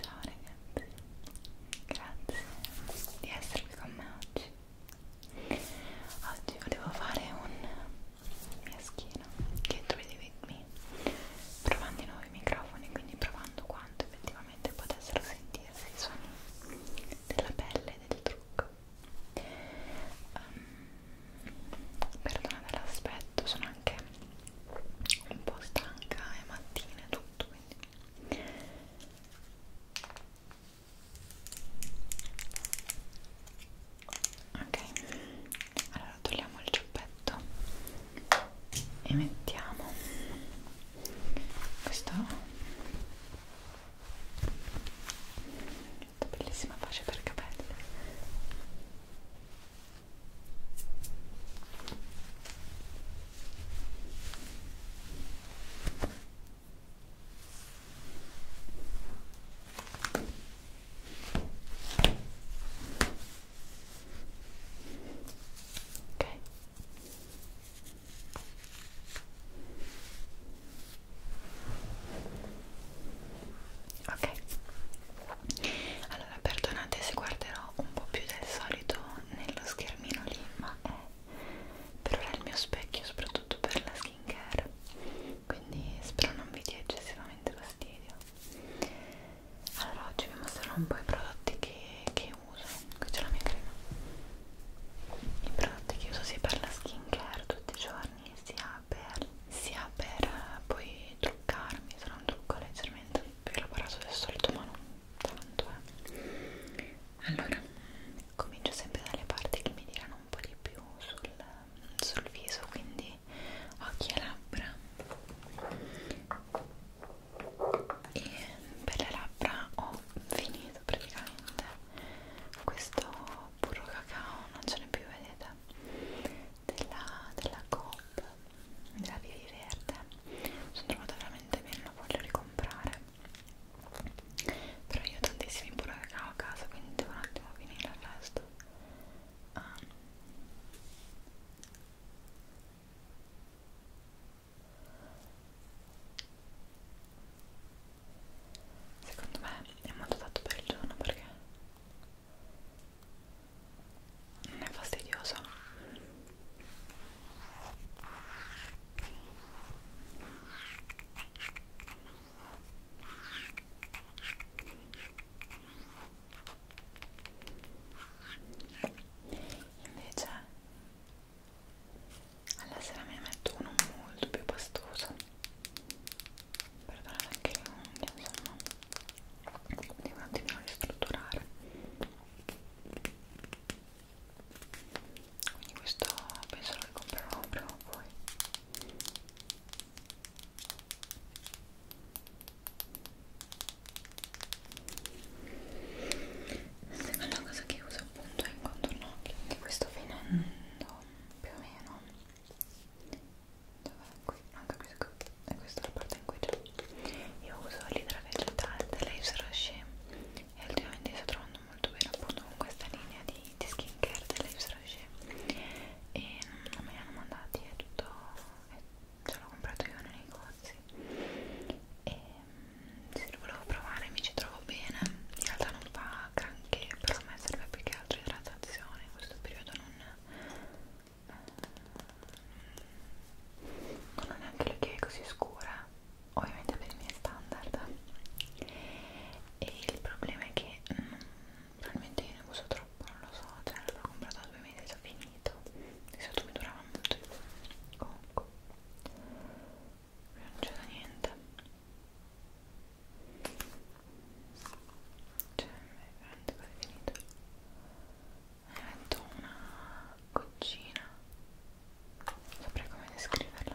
Ciao ragazzi, grazie di essere qui con me oggi. Oggi volevo fare un mia schiena che dovete vedermi provando i nuovi microfoni quindi provando quanto effettivamente potessero sentirsi i suoni della pelle e del trucco um, ehm, perdonate l'aspetto sono anche un po' stanca è mattina e tutto quindi ok allora togliamo il ciuppetto e mettiamo questo questa bellissima pace per capelli ok Ok. Ok. Allora, perdonate se guarderò un po' più del solito nello schermino lì, ma è per ora il mio specchio, soprattutto per la skincare quindi spero non vi dia eccessivamente fastidio allora oggi vi mostrerò un po' i prodotti che, che uso qui c'è la mia crema i prodotti che uso sia per la skin care tutti i giorni sia per, sia per eh, poi truccarmi sarà un trucco leggermente più elaborato del solito ma non tanto eh. allora comincio sempre dalle parti che mi tirano un po' di più sul sul viso quindi occhi e labbra e per le labbra ho finito praticamente questo burro cacao non ce n'è più vedete della, della Coop della Vivi Verde sono trovata veramente bene non voglio ricomprare però io ho tantissimi burro cacao a casa quindi devo un attimo finire il resto um, secondo me è molto adatto per il giorno perché non è fastidioso Invece alla sera mi metto uno molto più pastoso per dare anche le unghie, insomma quindi un attimino ristrutturare quindi questo penso lo ricomprerò prima o poi seconda cosa che uso appunto è il contorno che questo finendo più o meno dov'è qui? non ah, capisco e questa è la parte in cui c'è io uso l'idra vegetale della Isroshi e ultimamente sto trovando molto bene appunto con questa linea di di skincare dell'Eves Rocher e non me li hanno mandati, è tutto, è, ce l'ho comprato io nei negozi e mm, se lo volevo provare mi ci trovo bene, in realtà non fa granché, però a me serve più che altro idratazione, in questo periodo non, eh, non ho neanche le che è così scura ovviamente per i miei standard e il problema è che non, probabilmente io ne uso troppo, non lo so, cioè l'ho comprato da due mesi e già finito di solito mi durava molto di più comunque non c'è da niente cioè è veramente quasi finito ne metto una goccina saprei come descriverla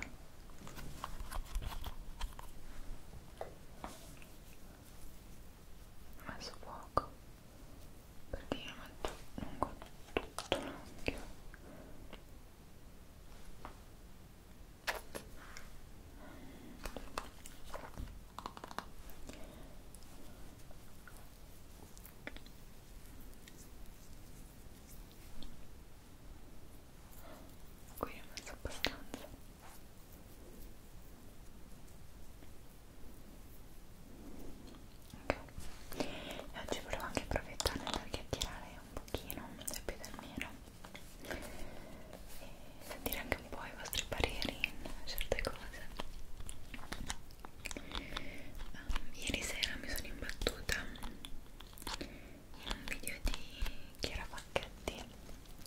ho messo poco perché io metto lungo tutto l'occhio qui ho messo abbastanza ok e oggi volevo anche approfittare perché tirare un pochino più del meno e sentire anche un po' i vostri pareri in certe cose um, ieri sera mi sono imbattuta un video di Chiara Facchetti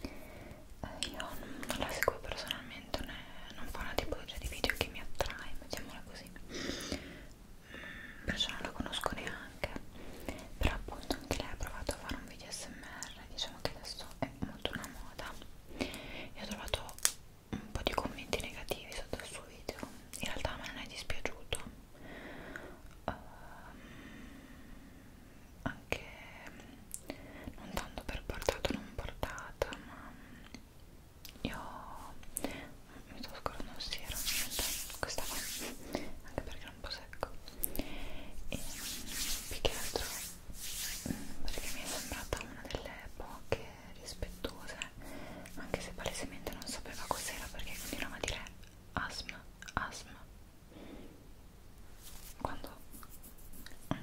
eh, io non la seguo personalmente né, non fa una tipologia di video che mi attrae mettiamola così mm, perciò non la conosco neanche però appunto anche lei ha provato a fare un video smr diciamo che adesso è molto una moda e ho trovato un po' di commenti negativi sotto il suo video in realtà a me non è dispiaciuto um, anche mm, non tanto per portata o non portata ma mm, io mm, mi sto scordando un siero questa qua anche perché era un po' secco e più che altro perché mi è sembrata una delle poche rispettose anche se palesemente non sapeva cos'era perché continuava a dire asma asma quando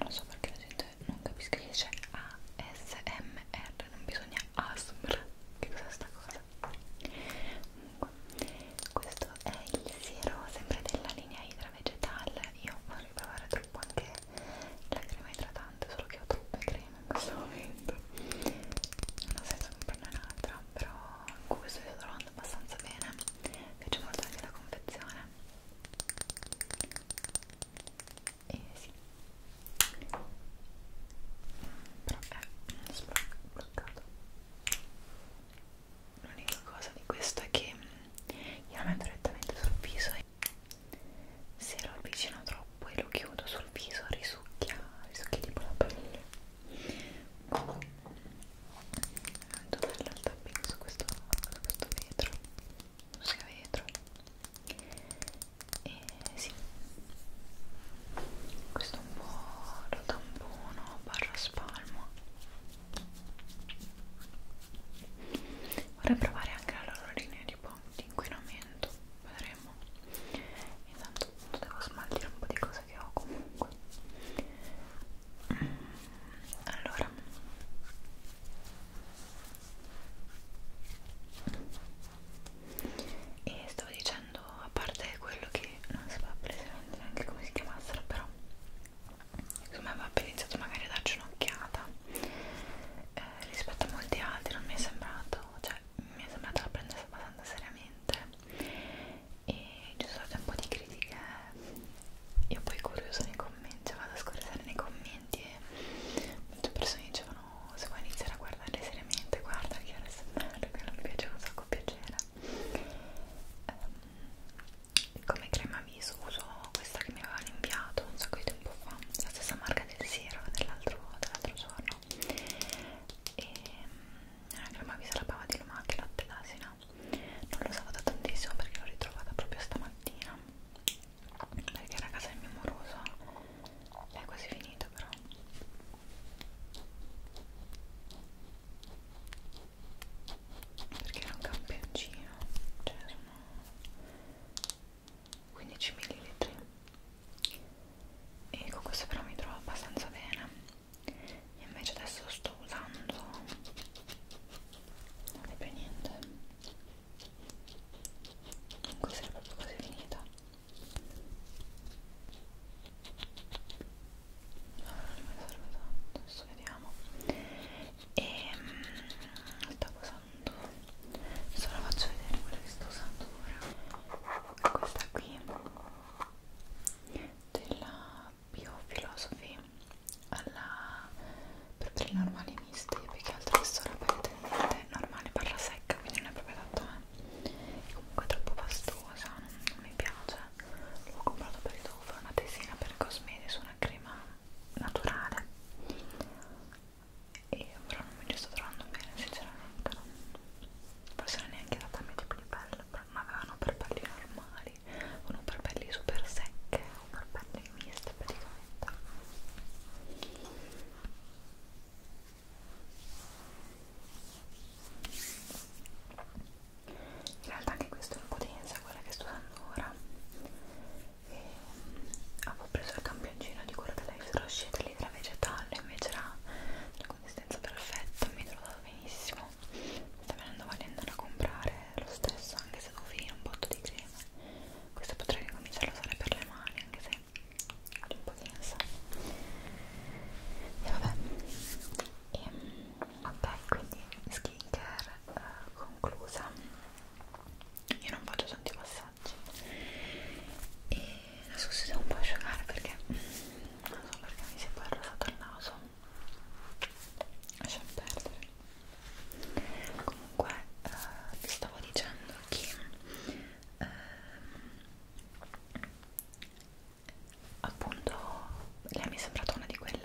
non so perché la gente non capisca che c'è ASMR non bisogna ASMR che cos'è sta cosa comunque questo è il siero sempre della linea idra vegetale io vorrei provare troppo anche la crema idratante solo che ho troppe creme in questo momento non ha senso comprarne un'altra però questo è solo funzionando abbastanza bene mi piace molto anche la confezione e sì però è sbloccato l'unica cosa di questo è che mm, io lo metto direttamente sul viso e se lo avvicino troppo e lo chiudo sul viso risucchia risucchia tipo la pelle molto bello il tapping su questo, su questo vetro non sia vetro e sì questo è un po' lo tampono barra spalmo vorrei provare anche la loro linea di, di inquinamento vedremo intanto devo smaltire un po' di cose cosa che ho comunque mm, allora e stavo dicendo a parte quello che non sapevo precisamente neanche come si chiamassero però insomma avevo iniziato magari a darci un'occhiata eh, rispetto a molti altri non mi è sembrato cioè mi è sembrata la prendesse abbastanza seriamente e ci sono state un po' di critiche io poi curioso nei commenti vado a scorreggiare nei commenti e molte persone dicevano se vuoi iniziare a guardare seriamente guarda che era bello che non mi piaceva un sacco piacere um, come crema viso uso questa che mi avevano inviato un sacco di tempo fa la stessa marca del siero dell'altro dell giorno e ehm, una crema viso alla bava di lumache latte d'asina vita non lo usavo da tantissimo perché l'ho ritrovata proprio stamattina perché era a casa del mio moroso è quasi finita però perché era un campioncino cioè sono 15 ml e con questo però mi trovo abbastanza bene e invece adesso sto usando non è più niente comunque sarà proprio così finita allora non mi serve tanto adesso vediamo e ehm, mh, stavo usando adesso la faccio vedere quella che sto usando ora questa qui della biofilosofi alla proprio normali misti più che altro che sono apparentemente normale parla secca quindi non è proprio adatto a me e comunque è troppo pastosa non, non mi piace l'ho comprato perché devo fare una tesina per cosmesi su una crema naturale e però non mi ci sto trovando bene sinceramente non, forse non è neanche adatta a me tipo di pelle non avevano per pelli normali, avevano per pelli super secche o per pelli miste praticamente. In realtà anche questo è un po' densa quella che sto usando ora. E, avevo preso il campioncino di quello della Rochette l'idra vegetale, invece era la consistenza perfetta, mi trovo benissimo mi esatto. sta venendo voglia di andare a comprare lo stesso anche se devo finire un botto di crema questo potrei ricominciare a usare per le mani anche se ho un po' di ansia e vabbè e, ehm, ok quindi skincare eh, conclusa io non faccio tanti passaggi e adesso si deve un po' asciugare perché non so perché mi si è poi arrosato il naso lasciamo perdere comunque eh, vi stavo dicendo che eh, appunto lei mi è sembrata una di quelle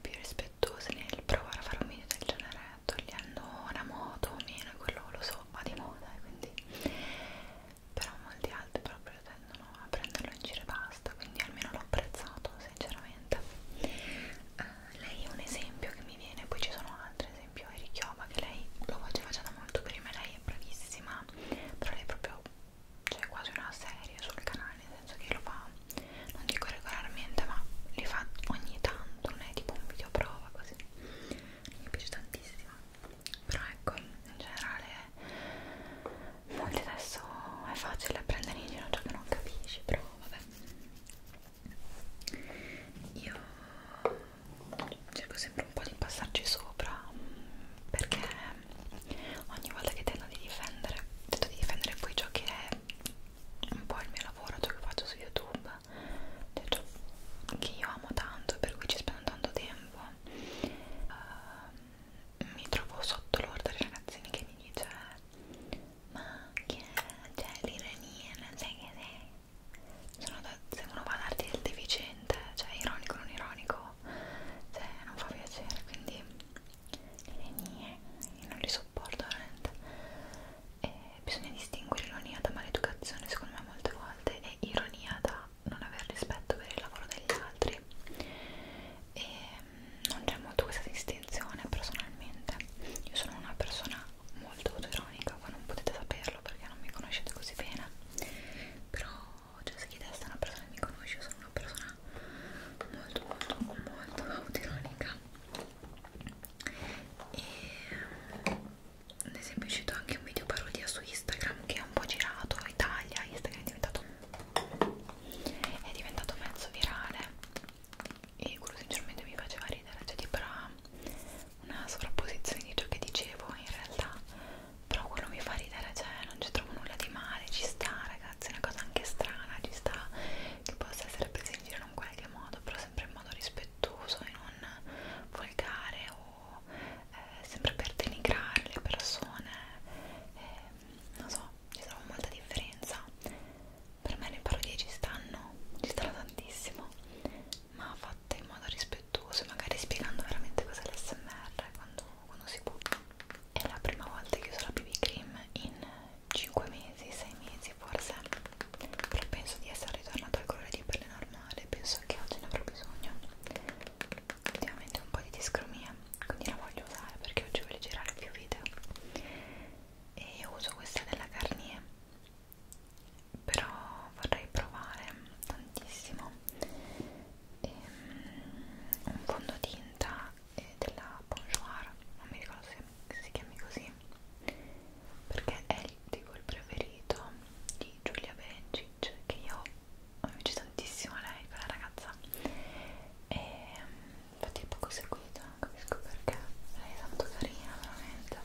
più rispettose nel provare a fare un video del genere togliendo una moto o meno quello lo so va di moda e eh, quindi però molti altri proprio cioè, tendono a prenderlo in giro e basta, quindi almeno l'ho apprezzato sinceramente. Uh, lei è un esempio che mi viene, poi ci sono altri, ad esempio Eri Chioma che lei lo faceva già da molto prima, lei è bravissima, però lei è proprio c'è cioè quasi una serie sul canale, nel senso che lo fa, non dico regolarmente, ma li fa ogni tanto, non è tipo un video prova così. Mi piace tantissimo. Però ecco, in generale molti adesso è facile prendere in giro ciò che non capisci, però vabbè. Io cerco sempre un po' di passarci sopra perché ogni volta che tento di difendere, tento di difendere poi ciò che è un po' il mio lavoro, ciò che faccio su YouTube, cioè ciò che io amo tanto, per cui ci spendo tanto tempo. Uh, mi trovo sotto l'orto dei ragazzini che mi dice ma che è? Cioè l'ironia, non sai che sei? Sono da, se uno va a darti il deficiente, cioè ironico non ironico, cioè non fa piacere, quindi l'ironia, io non li sopporto veramente. E bisogna distinguere ironia da maleducazione secondo me molte volte e ironia da non aver rispetto per il lavoro degli altri e non c'è molto questa distinzione personalmente io sono una persona molto autoironica voi non potete saperlo perché non mi conoscete così bene però cioè se chiedeste a una persona che mi conosce io sono una persona molto molto molto autoironica e ad esempio è uscito anche un video parodia su Instagram che è un po' girato Italia Instagram è diventato è diventato mezzo virale e quello sinceramente mi faceva ridere cioè tipo era una sovrapposizione di ciò che dicevo in realtà però quello mi fa ridere cioè non ci trovo nulla di male ci sta ragazzi è una cosa anche strana ci sta che possa essere presa in giro in un qualche modo però sempre in modo rispettoso e non volgare o eh, sempre per denigrare le persone eh, non so, ci trovo molta differenza per me le parodie ci stanno, ci stanno tantissimo ma fatte in modo rispettoso magari spiegando veramente cos'è l'SMR quando, quando si può è la prima volta che uso la BB Cream in 5 mesi, 6 mesi forse però penso di essere ritornata al colore di pelle normale penso che oggi ne avrò bisogno ultimamente un po' di discromia quindi la voglio usare perché oggi voglio girare più video e uso questa della Garnier però vorrei provare tantissimo ehm, un fondotinta eh, della Bonjour non mi ricordo se si chiami così perché è il, tipo il preferito di Giulia Bencic che io mi piace tantissimo lei, quella ragazza e infatti è poco seguita, non capisco perché lei è tanto carina veramente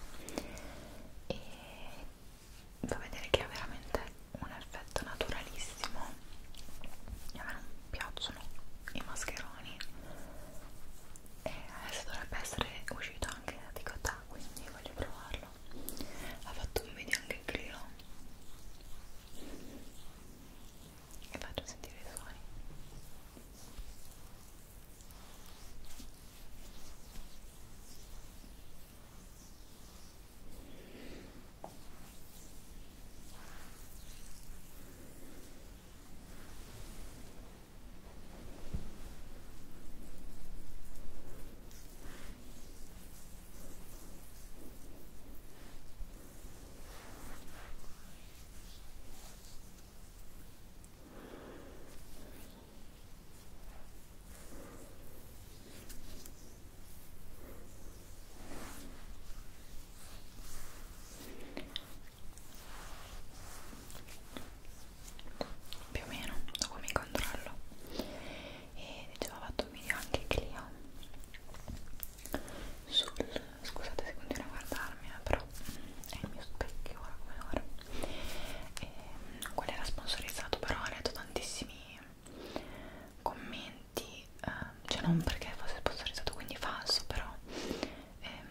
e fa vedere che ha veramente un effetto naturalissimo a me non piacciono i mascheroni e adesso dovrebbe essere uscito anche da Ticotà quindi voglio provarlo ha fatto un video anche Clio e faccio sentire i suoni Ecco più o meno da come controllo e dicevo ho fatto un video anche Clio sul scusate se continuo a guardarmi eh, però è il mio specchio ora come ora e, ehm, quello era sponsorizzato però ho letto tantissimi commenti eh, cioè non perché fosse sponsorizzato quindi falso però ehm,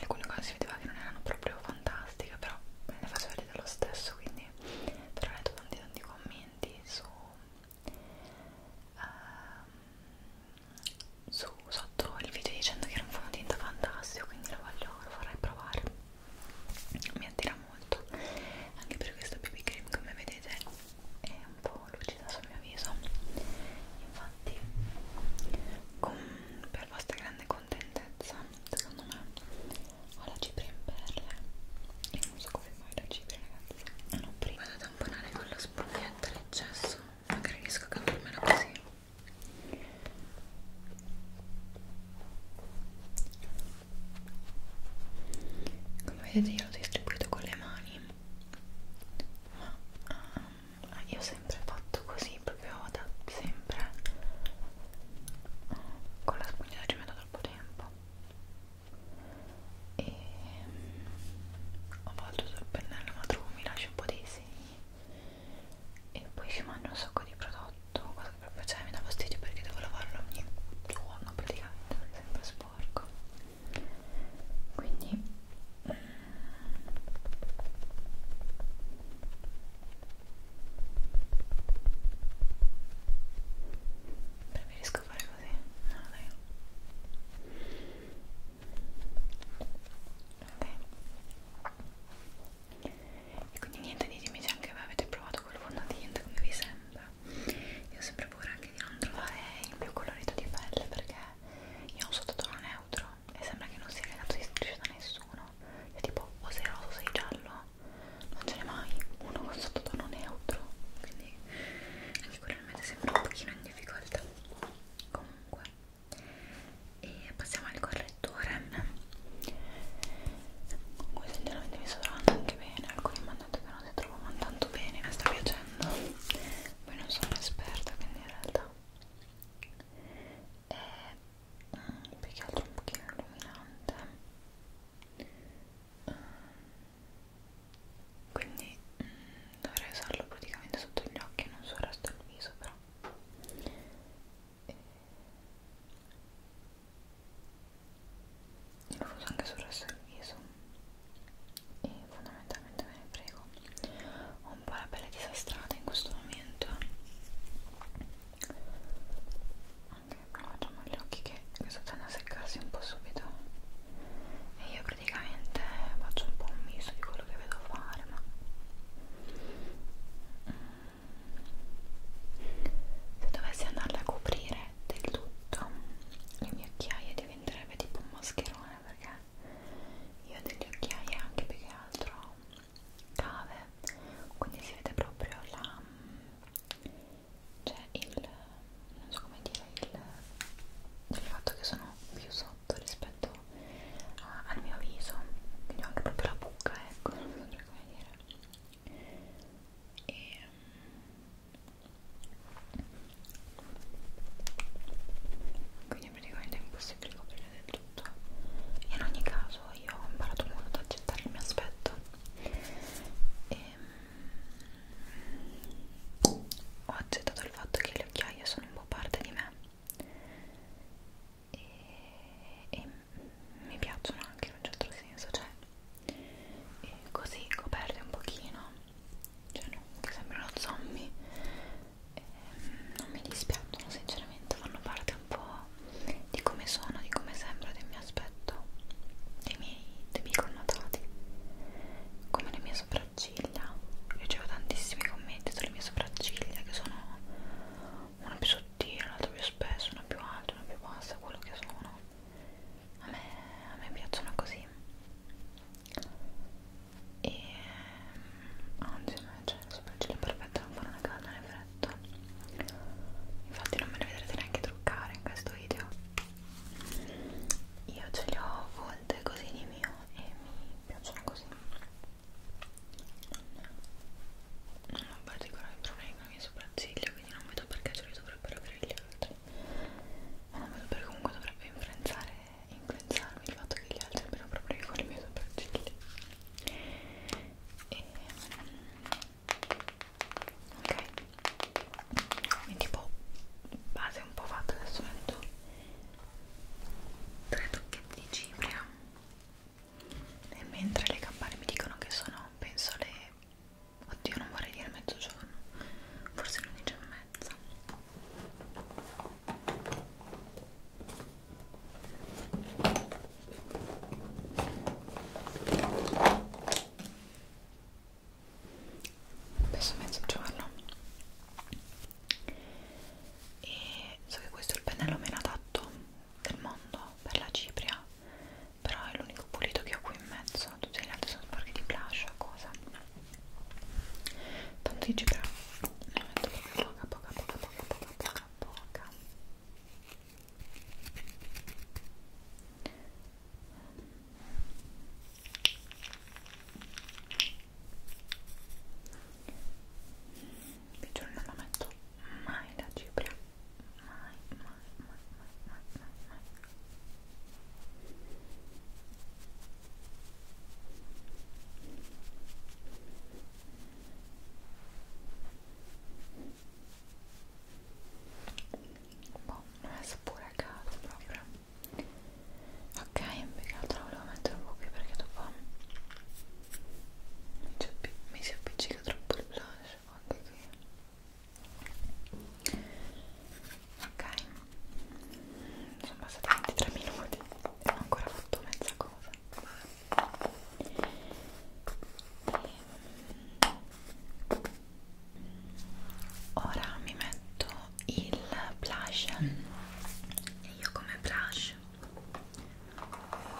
alcune cose si vedeva che non erano proprio fantastiche però me le faccio vedere lo stesso quindi però ho letto tanti tanti commenti su uh, su, sotto il video dicendo che era un fondotinta fantastico quindi lo, voglio, lo vorrei provare mi attira molto anche per questa BB cream come vedete è un po' lucida sul mio viso infatti con, per vostra grande contentezza secondo me ho la cipria in perle e non so come mai la cipria ragazzi ah, non ho prima vado a tamponare con la spugnetta l'eccesso magari riesco a cavarmela così come vedete io l'ho distribuito con le mani ma um, ah, io ho sempre fatto così proprio da sempre con la spugnetta ci metto troppo tempo e ho fatto sul pennello ma trovo mi lascia un po' dei segni e poi ci mangio un sacco di prodotto cosa che proprio cioè, mi dà fastidio perché devo lavarlo ogni giorno praticamente è sempre sporco quindi mm, preferisco riesco a fare così no dai ok e quindi niente ditemi se anche voi avete provato quel fondotinta come vi sembra io ho sempre paura anche di non trovare il più colorito di pelle perché io ho un sottotono neutro e sembra che non sia legato di striscio da nessuno è tipo o sei rosso o sei giallo non ce n'è mai uno con sottotono neutro quindi anche quello mi sembra un pochino in difficoltà comunque e passiamo al correttore comunque sinceramente mi sto trovando anche bene alcuni mi hanno detto che non si trovano tanto bene mi sta piacendo poi non sono esperta quindi in realtà è mm, più che altro un pochino illuminante quindi mm, dovrei usarlo praticamente sotto gli occhi e non sul resto del viso però e... lo uso anche sul resto del viso e fondamentalmente me ne prego ho un po' la pelle disastrata in questo momento ok però facciamo gli occhi che, che sto andando a seccarsi un po' subito e io praticamente faccio un po' un misto di quello che vedo fare ma se dovessi andarle a coprire del tutto le mie occhiaie diventerebbe tipo un mascherone perché io ho delle occhiaie anche più che altro cave quindi si vede proprio la c'è cioè, il non so come dire il, il fatto che sono più sotto rispetto a, al mio viso quindi ho anche proprio la buca ecco non saprei come dire e quindi praticamente è impossibile coprire del tutto e in ogni caso io ho imparato molto ad accettare il mio aspetto e ho accettato il fatto che le occhiaie sono un po' parte di me e, e mi piacciono anche in un certo senso cioè così coperte un pochino cioè non che sembrano zombie e, non mi dispiacciono sinceramente fanno parte un po' di come sono di come sembro del mio aspetto dei miei miei, dei miei connotati come le mie sopracciglia io ricevo tantissimi commenti sulle mie sopracciglia che sono una più sottile, l'altra più spessa, una più alta, una più bassa, quello che sono a me, a me piacciono così e anzi a me cioè, le sopracciglia perfette non fanno una calda nel freddo infatti non me le vedrete neanche truccare in questo video io ce li ho volte così di mio e mi piacciono così non ho particolari problemi con le mie sopracciglia quindi non vedo perché ce li dovrebbero avere gli altri ma non vedo perché comunque dovrebbe influenzare influenzarmi il fatto che gli altri abbiano problemi con le mie sopracciglia e mm, ok quindi tipo base un po' fatta adesso metto tre tocchetti di cipria e mentre le campane mi dicono che sono penso le oddio non vorrei dire mezzogiorno forse l'undici e mezza penso mezzogiorno e so che questo è il pennello meno adatto del mondo per la cipria però è l'unico pulito che ho qui in mezzo tutti gli altri sono sporchi di blush o cosa tanto di cipria ne metto poca poca poca poca poca poca poca di giorno non metto mai la cipria mai mai mai mai mai mai, mai. Ecco boh, non è pure a caso proprio ok, più che altro volevo mettere un po' qui perché dopo mi si appiccica troppo il blush anche qui ok sono passati 23 minuti e ho ancora fatto mezza cosa e, ora mi metto il blush e io come blush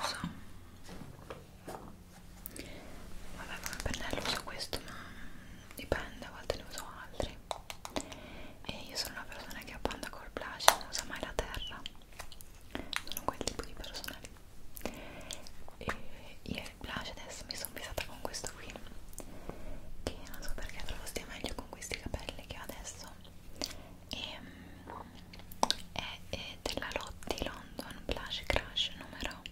uso vabbè come pennello uso questo ma dipende a volte ne uso altri e io sono una persona che abbanda col blush non usa mai la terra sono quel tipo di persona occhiali e ieri Blush adesso mi sono pesata con questo qui che non so perché trovo stia meglio con questi capelli che ho adesso e, mm, è, è della Lotti London Blush Crash numero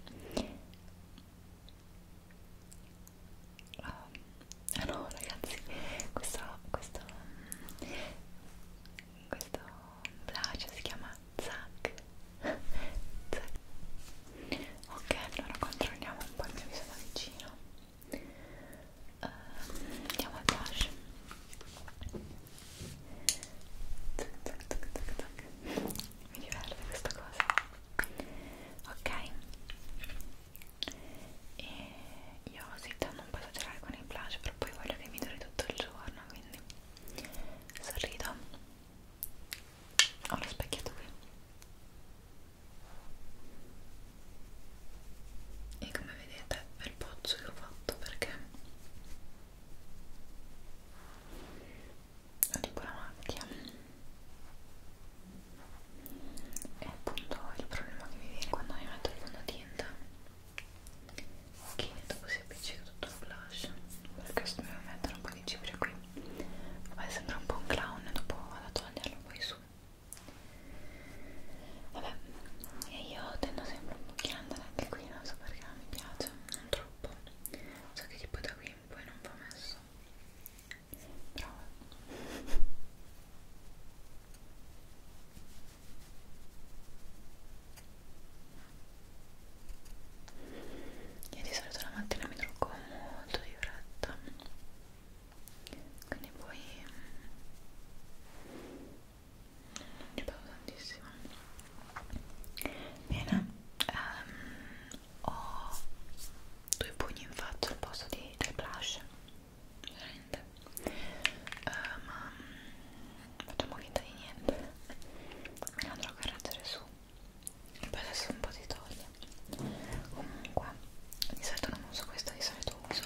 ah oh, no ragazzi questo questo mm, questo blush si chiama zac, zac ok allora controlliamo un po' il mio viso da vicino uh, andiamo al blush mi diverte questa cosa ok e io sì, tendo un po' a esagerare con il blush però poi voglio che mi duri tutto il giorno quindi sorrido ho lo specchietto qui e come vedete è il pozzo che ho fatto perché ho tipo la macchia e appunto il problema che mi viene quando mi metto il fondotinta che dopo si appiccica tutto il blush perché se devo mettere un po' di cipria qui Vabbè, sembra un po' un clown, dopo vado a toglierlo poi su. Vabbè, e io tendo sempre un pochino ad andare anche qui, non so perché non mi piace, non troppo. So che tipo da qui in poi non va messo. Però... Io di solito la mattina mi trucco molto di fretta quindi poi mm, non ci vado tantissimo bene um, ho due pugni in faccia al posto di, del blush veramente uh, ma mm, facciamo finta di niente me la andrò a correggere su poi adesso un po' si toglie comunque di solito non uso questo di solito uso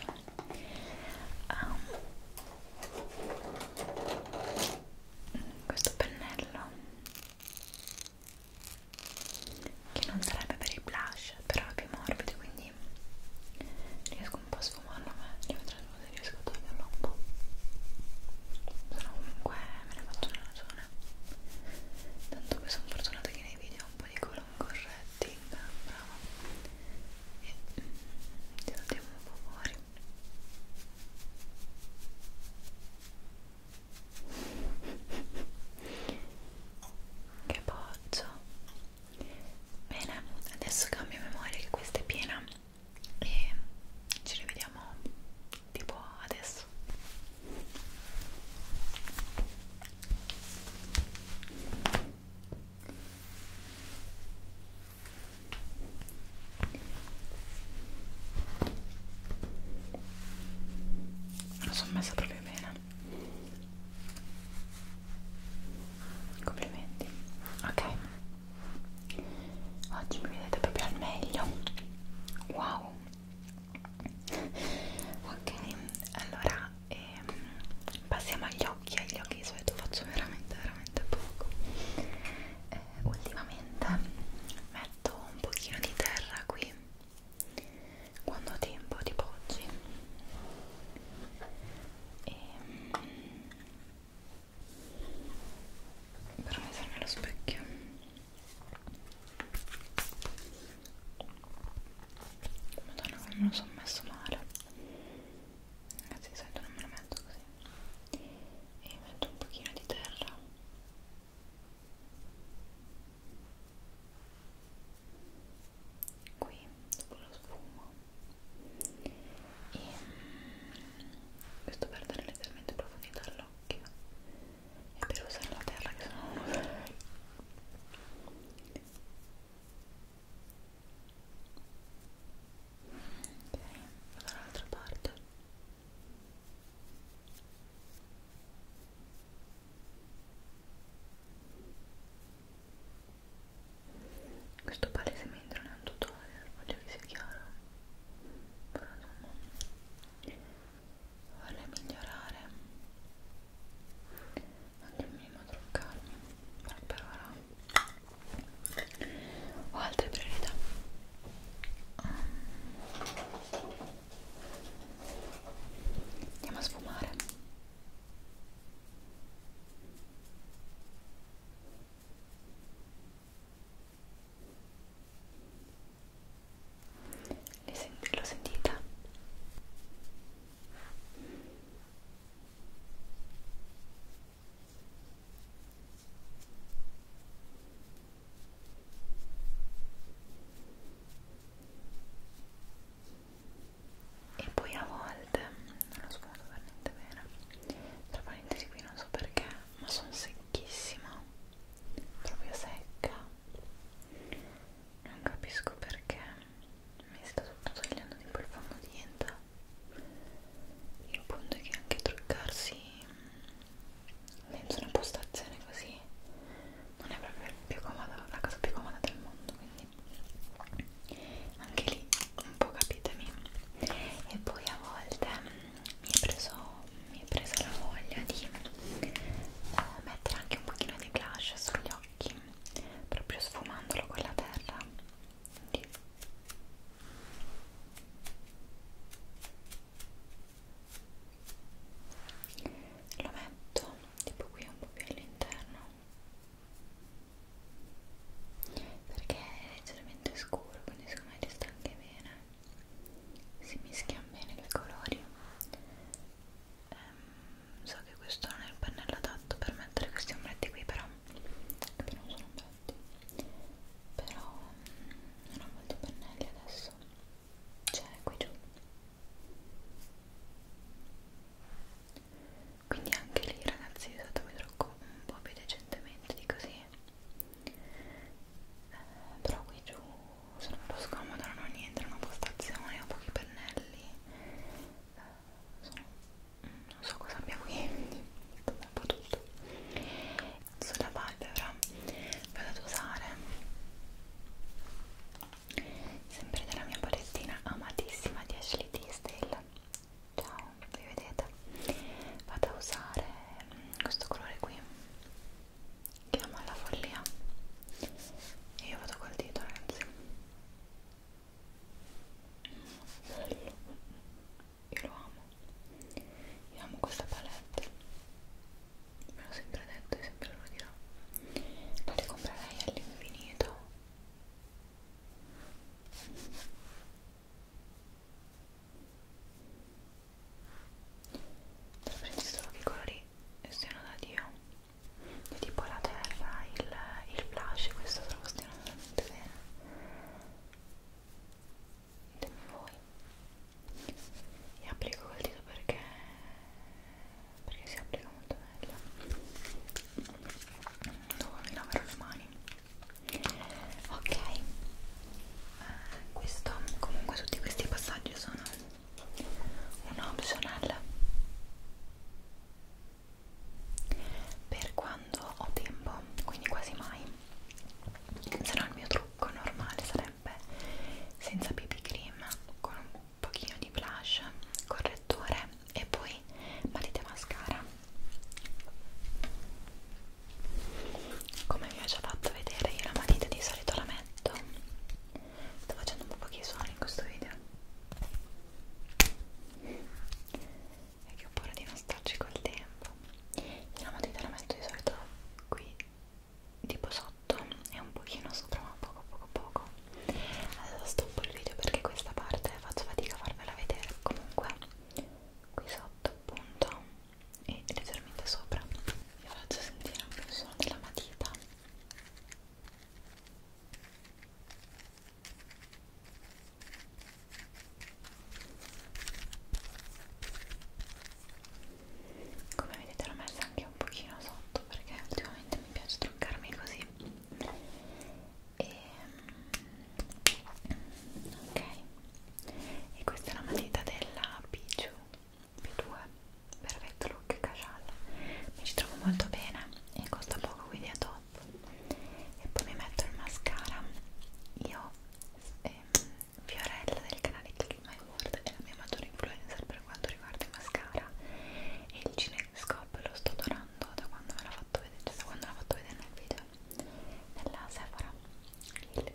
um, questo pennello che non sarebbe per il blush però è più morbido quindi riesco un po' a sfumarlo ma io vedrò se riesco a toglierlo un po' sono comunque me ne faccio una ragione bene tanto poi sono fortunata che nei video ho un po' di colori corretti brava e ti mm, saltiamo un po' fuori che poggio bene adesso cambio memoria che questa è piena e ci rivediamo tipo adesso me lo sono messa proprio bene complimenti ok oggi mi vedete proprio al meglio wow ok allora ehm, passiamo agli occhi agli occhi di solito faccio veramente veramente poco eh, ultimamente metto un pochino di terra qui quando ho tempo tipo oggi e, ehm, però mi serve lo specchio Madonna come me lo sono messo male Ragazzi sento non me lo metto così E metto un pochino di terra Qui dopo lo sfumo E mm, questo per dare leggermente profondità all'occhio e per usare la terra che sono ok, vado dall'altra parte questo palesemente non è un tutorial, voglio che sia chiaro però insomma vorrei migliorare anche il minimo truccarmi però per ora ho altre priorità andiamo a sfumare senti, lo sentite? E poi a volte, non lo sfondo per niente bene, tra parentesi qui non so perché, ma sono secchissima proprio secca non capisco perché mi sta tutto togliendo di quel fango di niente il punto è che anche truccarsi dentro una postazione così non è proprio più comoda, la cosa più comoda del mondo quindi anche lì un po' capitemi e poi a volte mi è, preso, mi è presa la voglia di eh, mettere anche un pochino di blush sugli occhi proprio sfumandolo con la terra Quindi. lo metto tipo qui un po' più all'interno perché è leggermente scuro quindi secondo me ci sta anche bene si mischiano bene i colori ehm, so che questo non è il pennello adatto per mettere questi ombretti qui però che non sono ombretti però mm, non ho molti pennelli adesso c'è qui giù quindi anche lì ragazzi usatemi trucco un po' più decentemente di così eh, però qui giù sono un po' scomoda, non ho niente, non ho postazione, ho pochi pennelli eh, sono, non so cosa abbia qui, un po' tutto sulla palpebra vado ad usare sempre della mia palettina amatissima di Ashley Tisdale ciao, vi vedete vado a usare mm, questo colore qui che ama la follia e io vado col dito ragazzi bello io lo amo io amo questa palette me l'ho sempre detto e sempre lo dirò la ricomprerei all'infinito Prendi solo che i colori siano da Dio. E tipo la terra, il, il flash, questo trovo stiano veramente bene. Ditemi voi. E applico col dito perché perché si applica molto meglio. Dopo mi laverò le mani. Ok eh, questo comunque tutti questi passaggi sono un optional per quando ho tempo quindi quasi mai se no il mio trucco normale sarebbe senza BB cream con un pochino di blush correttore e poi matita mascara come vi ho già fatto vedere io la matita di solito la metto sto facendo un po' pochi suoni in questo video e che ho paura di non starci col tempo io la matita la metto di solito qui tipo sotto e un pochino sopra ma poco poco poco adesso stoppo il video perché questa parte faccio fatica a farvela vedere comunque qui sotto appunto e leggermente sopra vi faccio sentire anche il suono della matita come vedete l'ho messa anche un pochino sotto perché ultimamente mi piace truccarmi così e mm, ok e questa è la matita della Pichu B2 Perfetto Look Cajal mi ci trovo molto bene e costa poco quindi è top e poi mi metto il mascara io ehm, Fiorella del canale Click My World è la mia maggiore influencer per quanto riguarda il mascara e il Cinescope lo sto adorando da quando me l'ha fatto vedere, cioè da quando l'ha fatto vedere nel video della Sephora il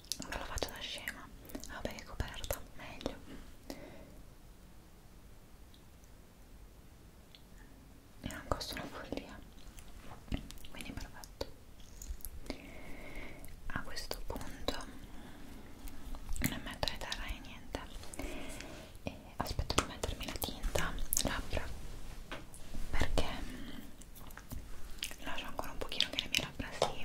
non la faccio da scema ah, vabbè è coperta meglio e non costa una follia quindi perfetto a questo punto non metto le terra e niente e aspetto di mettermi la tinta labbra perché mm, lascio ancora un pochino che le mie labbra si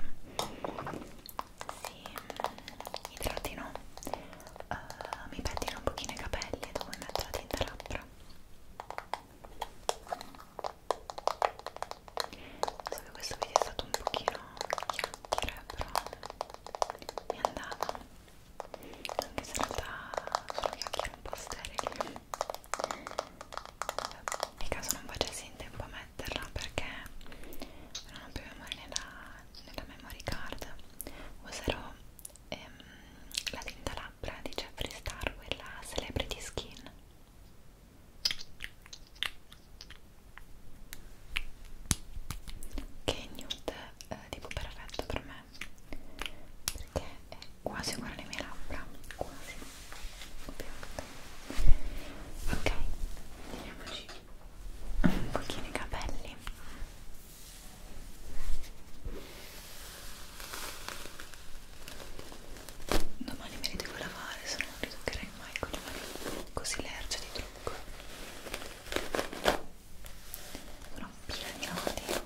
si idratino, uh, mi pettino eh, un pochino i capelli e dopo mi metto la tinta labbra. So che questo video è stato un pochino chiacchiere, però mi è andata. Anche se in realtà sono chiacchiere un po' sterili. Nel caso non facessi in tempo a metterla perché non ho più memoria nella, nella memory card userò ehm, la tinta labbra di Jeffree Star quella Celebrity Skin che è nude eh, tipo perfetto per me perché è quasi uguale alle mie labbra quasi ovviamente ok, vediamoci un pochino i capelli domani me li devo lavare se no non li toccherei mai con le mani così lerce di trucco sono pila di nodi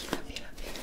pila pila pila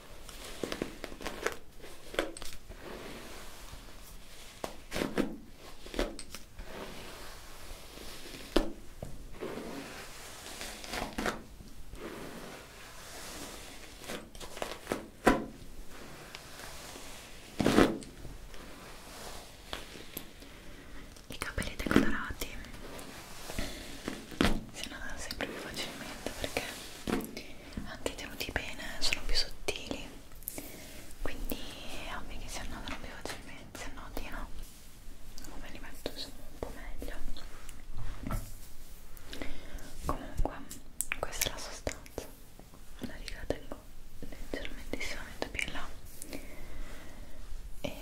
I capelli decolorati si annodano sempre più facilmente perché anche tenuti bene, sono più sottili quindi è ovvio che si annodano più facilmente, se noti no come li metto sono un po' meglio comunque questa è la sostanza la riga la tengo leggermente più in là e ehm,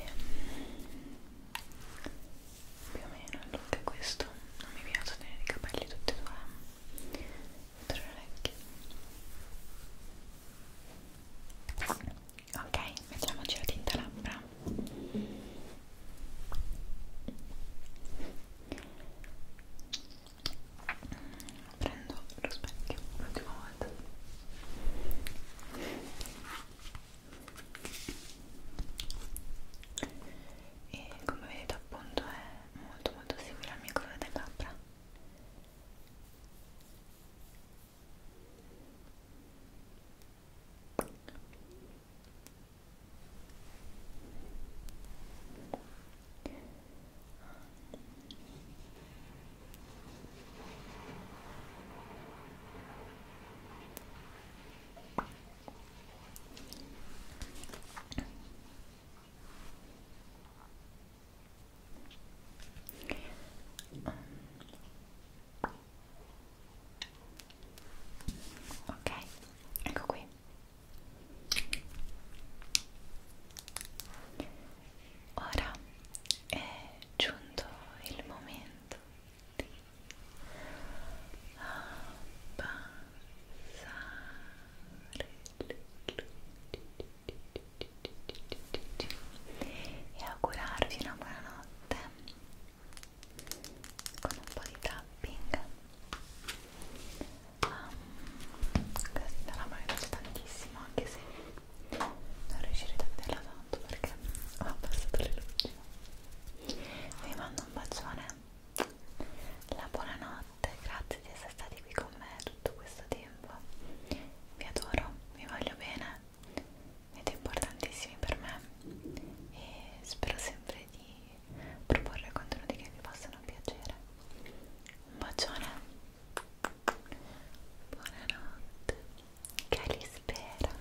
più o meno il look è questo non mi piace tenere i capelli tutti e due tra le orecchie ok, mettiamoci la tinta labbra prendo lo specchio l'ultima volta e come vedete appunto è molto molto simile al mio colore delle labbra Ok, ecco qui. Ora è giunto il momento di abbandonare ah, e augurarvi una buonanotte con un po' di tapping um, questa la mano piace tantissimo anche se non riuscirete a vederla tanto perché ho abbassato le luci vi mando un bacione la buonanotte, grazie di essere stati qui con me tutto questo tempo. Vi adoro, vi voglio bene, siete importantissimi per me e spero sempre di proporre contenuti che vi possano piacere. Un bacione, buonanotte, che li spera.